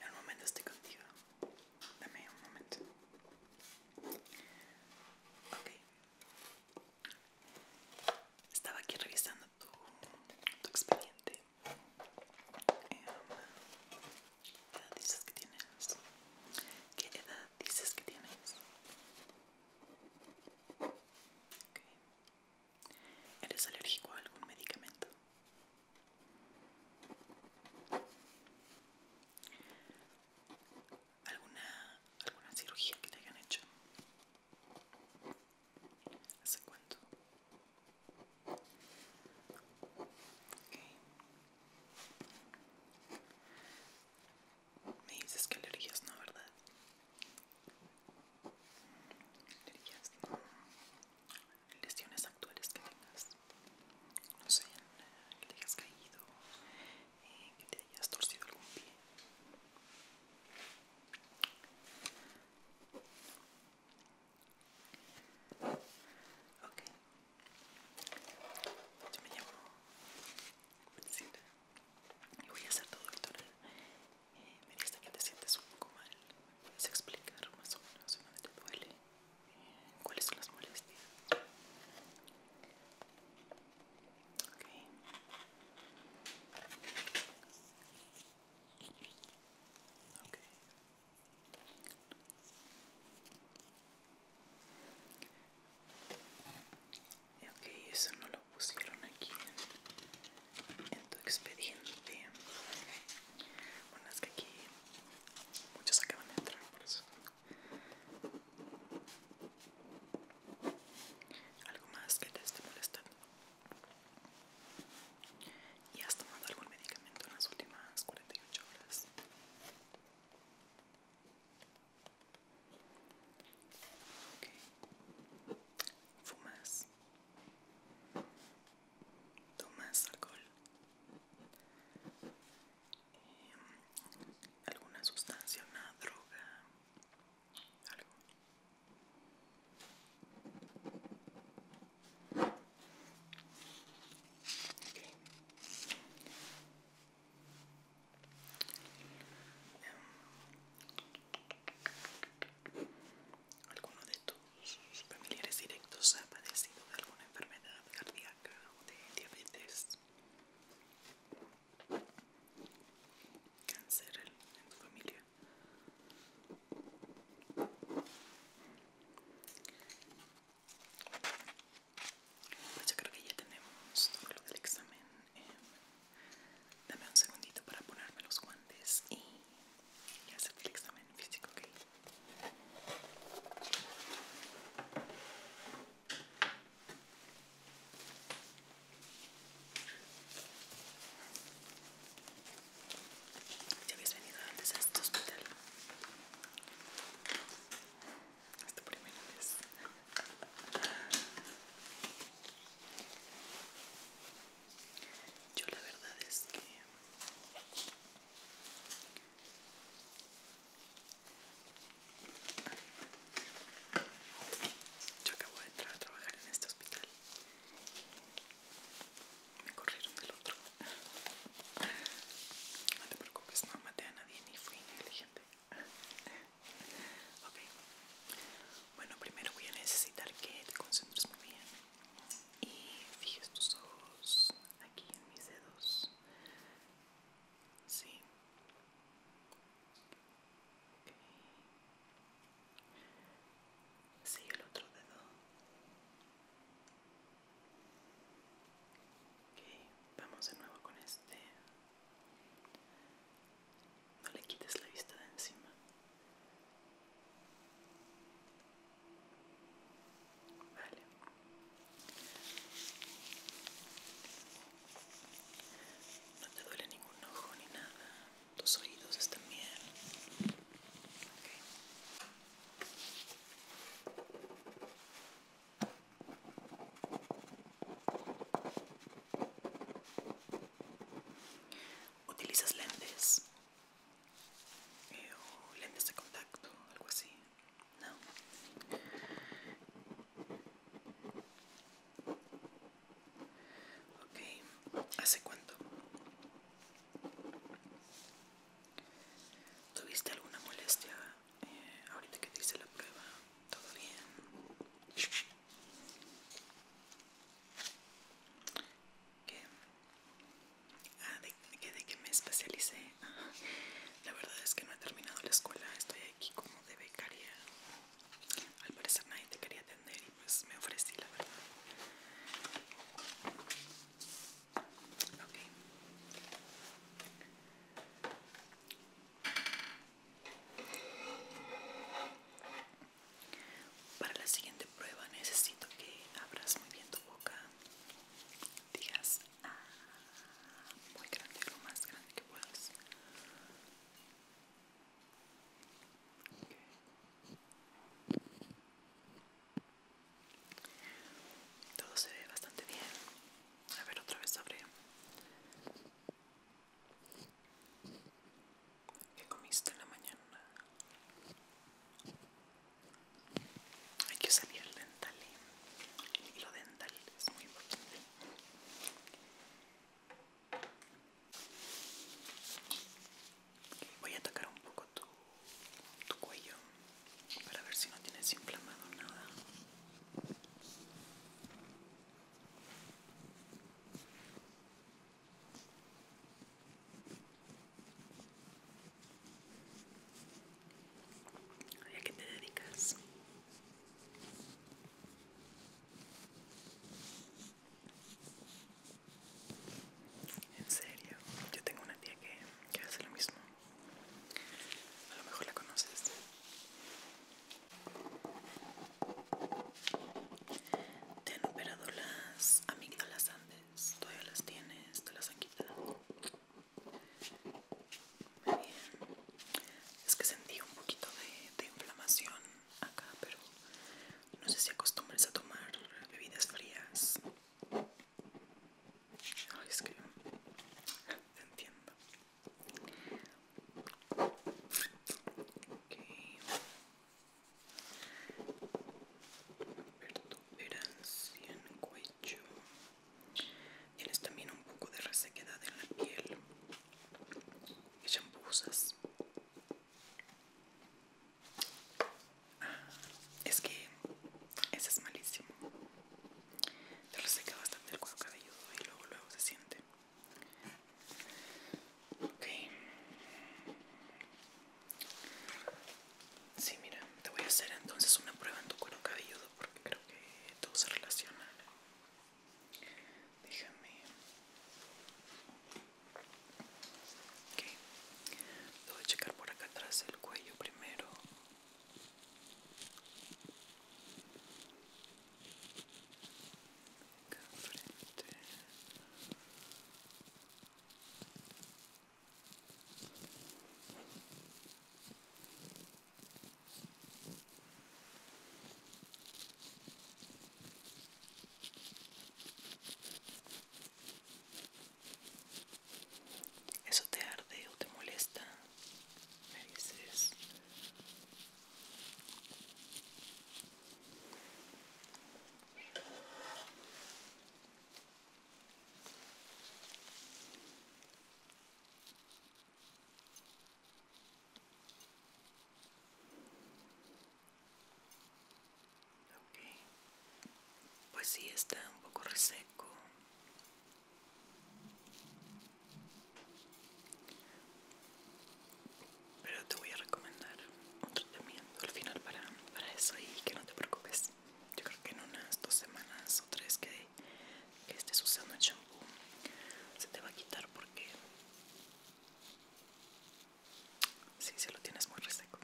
En momento estoy contigo. Dame un momento. Okay. Estaba aquí revisando tu, expediente. Eh, ¿Qué edad dices que tienes? ¿Qué edad dices que tienes? ¿Eres alérgico a algún medicamento? ¿Alguna, alguna cirugía que te hayan hecho? ¿Hace cuánto? Me dices que alergias no, ¿verdad? Alergias Lesiones actuales que tengas. No sé, que te hayas caído, eh, que te hayas torcido algún pie. Ok. Yo me llamo Benzina y voy a hacer todo doctora. Eh, me dice que te sientes un poco mal. ¿Puedes explicar más o menos si dónde te duele? Eh, ¿Cuáles son las molestias? Okay. Okay. Ok, eso no lo pusieron aquí en, en tu expediente. Bueno, es que aquí muchos acaban de entrar por eso algo más que te esté molestando y has tomado algún medicamento en las últimas 48 horas fumas tomas alcohol alguna sustancia una droga ¿Alguno de tus familiares directos ha padecido de alguna enfermedad cardíaca o de diabetes? cáncer en, tu familia. Pues yo creo que ya tenemos todo lo del examen. Em, dame un segundito para ponerme los guantes y, y hacer el examen físico, ¿ok? Ya habías venido antes a este hospital. Es primera vez. Yo la verdad es que yo acabo de entrar a trabajar en este hospital. Me corrieron del otro. No te preocupes, no maté a nadie ni fui negligente. Ok. Bueno, primero voy a necesitar que te concentres muy bien y fijes tus ojos aquí en mis dedos. Sí sigue el otro dedo vamos de nuevo con este no le quites la vista de encima vale no te duele ningún ojo ni nada. Tus oídos están bien. ¿Utilizas lentes? Eh, lentes de contacto, algo así. No. Ok, ¿hace cuánto? ¿Tuviste alguna molestia eh, ahorita que te hice la prueba? ¿Todo bien? ¿Qué? Ah, ¿de, de qué me especialicé? Ah, la verdad es que no he terminado la escuela, estoy aquí como de becaria al parecer nadie te quería atender y pues me ofrecí la verdad. Ok. Para la siguiente prueba necesito que abras muy bien tu boca. Digas ah, muy grande, lo más grande que puedas. Todo se ve bastante bien. A ver, otra vez sobre qué comiste en la mañana. Hay que usar ¿eh? el dental. y lo dental es muy importante. Voy a tocar un poco tu, cuello para ver si no tienes inflamado nada. a qué te dedicas? En serio, yo tengo una tía que, hace lo mismo. A lo mejor la conoces. Te han operado las amígdalas antes. Todavía las tienes, te las han quitado. Es que sentí un poquito de inflamación acá, pero no sé si acostumbres a tomar bebidas frías. Ay, es que te entiendo. Okay. Pertuberancia en cuello. Tienes también un poco de resequedad en la piel shampoosas. Ah, es que ese es malísimo. Te reseca bastante el cuero cabelludo y luego luego se siente. Ok. Sí, mira, te voy a hacer entonces una prueba en tu cuero cabelludo porque creo que todo se relaciona. Déjame. Ok. voy a checar por acá atrás el cuello primero. ¿Eso te arde o te molesta? Me dices. Pues sí, está un poco reseco. Pero te voy a recomendar un tratamiento al final para, eso y que no te preocupes. Yo creo que en unas dos semanas o tres que, estés usando el champú se te va a quitar porque Sí, se lo tienes muy reseco.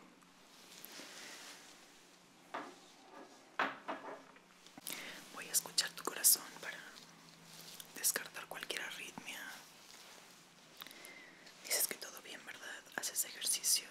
Voy a escuchar tu corazón para descartar cualquier arritmia. Dices que todo bien, ¿verdad? Haces ejercicio.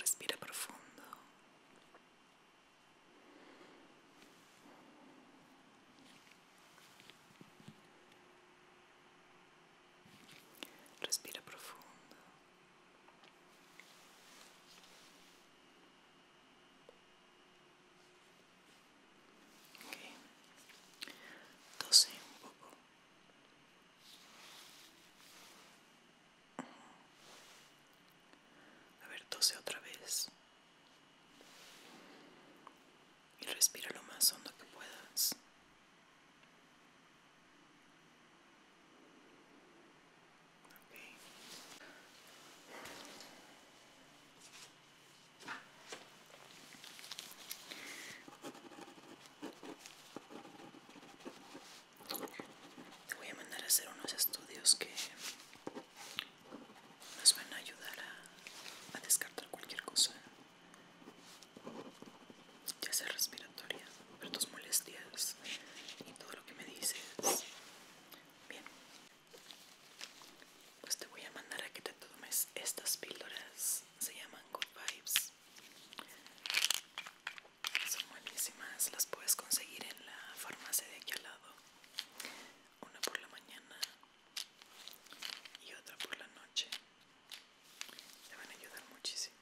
Respira profundo. Respira profundo. Okay. Tose un poco. A ver, tose otra vez. Y respira lo más hondo que puedas. Te voy a mandar a hacer unos estudios que nos van a ayudar a descartar cualquier cosa ya sea respiratoria, pero tus molestias y todo lo que me dices. Bien, pues te voy a mandar a que te tomes estas píldoras, se llaman Good Vibes. Son buenísimas, las puedes conseguir en la farmacia de aquí al lado. Una por la mañana y otra por la noche. Te van a ayudar muchísimo.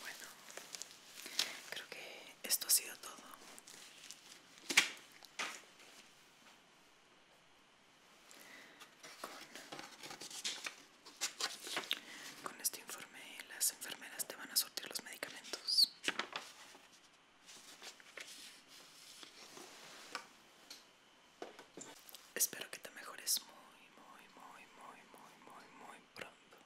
Bueno, creo que esto ha sido todo. Con, este informe las enfermeras te van a sortir los medicamentos. Espero que te mejores muy, muy, muy, muy, muy, muy, muy pronto.